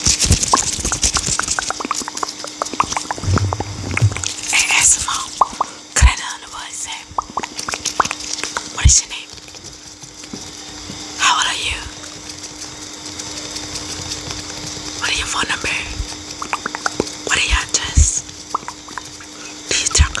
Hey, ASMR, could I know what I What is your name? How old are you? What is your phone number? What is your address? Do you talk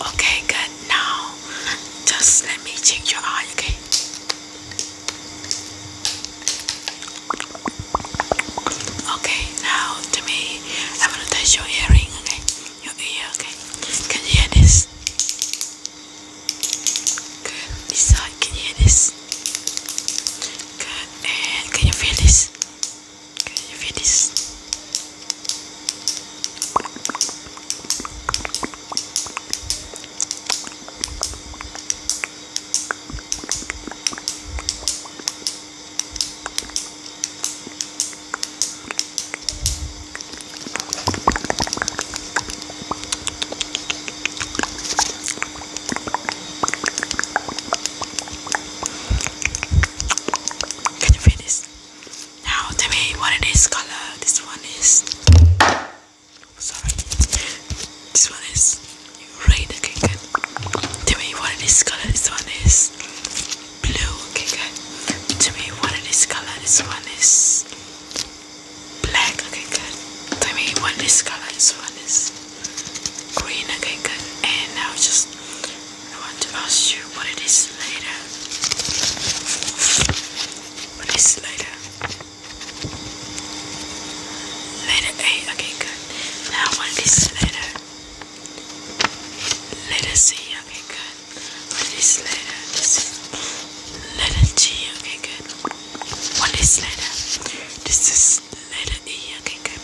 Okay, good. Now, just let me check your eye, okay? Okay, now to me, I'm gonna touch your earring, okay? Your ear, okay? Can you hear this? Good. This can you hear this? Good. And can you feel this? Can you feel this? Can you feel Now tell me what color. This one is sorry. This one is red, okay good. Tell me what color, this one is blue, okay good. Tell me what color, this one is black, okay good. Tell me what color, this one is green again and I'll just I want to ask you what it is later what is later later A okay good now what is later letter C okay good what is later this is letter G okay good what is later this is later Sliderdija kijk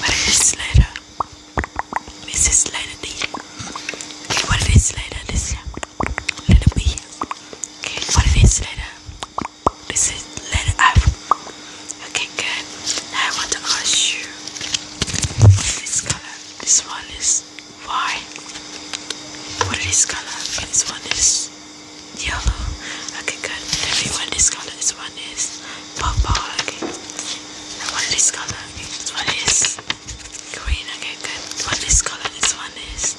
Waar is Slider? Mrs. Sliderdija Kijk wat het is Slider, dit is ja Little B Kijk wat het is Slider This is letter F Okay good Now I want to ask you This color This one is Y What is color? And this one is yellow. Okay, good. Tell me what this color is. One is purple. Okay. And what this color? Okay. This one is green. Okay, good. What this color? This one is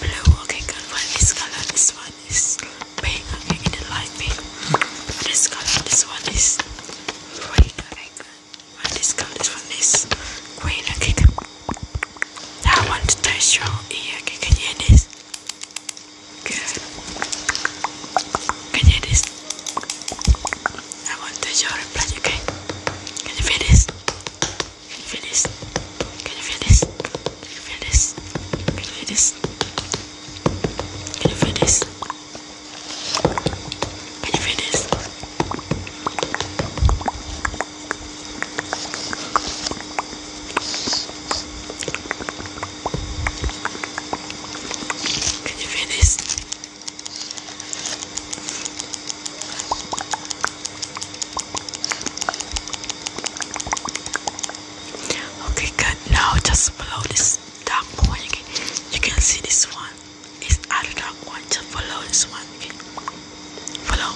blue. Okay, good. What this color? This one is pink. Okay, in the light pink. What this color? This one is red. Okay, good. What this color? This one is green. Okay, good. Now I want to touch your ear. Okay, can you hear this? Good. Can you hear this? I want to touch your blood, okay? Can you feel this? Can you feel this? Can you feel this? Can you feel this? Can you feel this? Can you feel this? Can you feel this? Can you feel this? Can you feel this? Okay, good. Now just below this dark point, you can, you can see this one is I do not want to follow this one. Okay. Follow.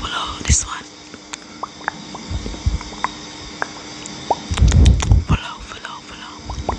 Follow this one. Follow, follow, follow. Follow,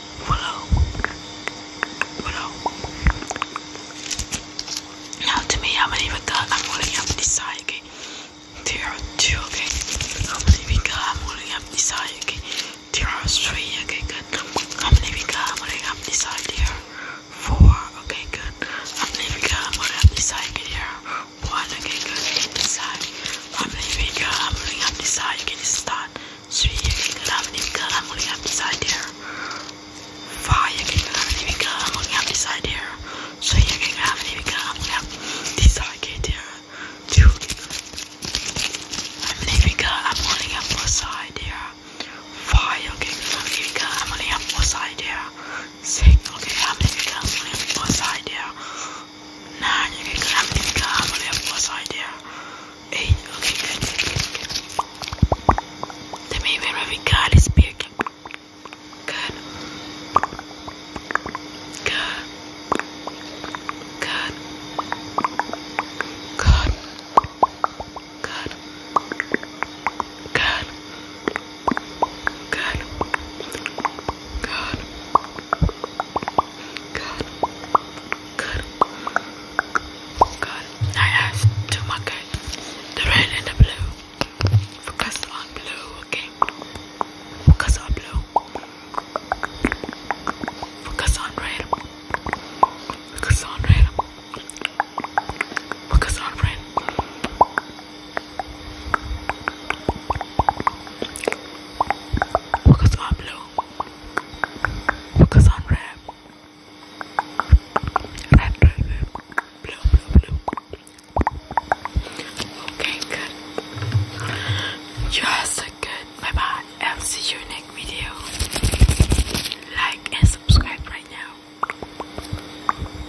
Follow. Follow. Now to me, how many we got? I'm holding up this side, okay? There are two, okay? How many we got? I'm holding up this side, okay? There are three, okay, good. How many we got? I'm holding up this side, there. Four, okay, good. How many we got? I'm holding up this side, okay, there. One, okay, good. This side. Ramli I'm holding up this side, you can start. Three, you can grab an I'm holding up this side here. Five, you can grab an I'm holding up this side here. Three, you can grab an I'm holding up this side here. Two, I'm leaving I'm holding up both side here. Five, okay, I'm leaving I'm holding up both side here. Six, okay, I'm leaving I'm holding up both side here. Nah, you can come, you can come. have plus idea. Hey, okay, good, good, good. The main where we got Good. Good. Good. Good. Good. Good. Good. Good. Good. Good. Good. I asked to market the red and the blue. Focus on blue, okay? Focus on blue. Focus on red. Focus on red. Focus on red. Focus on blue. Focus on red. Red, red, red. Blue, blue, blue. Okay, good. You are good. Bye bye. I'll see you next video. Like and subscribe right now.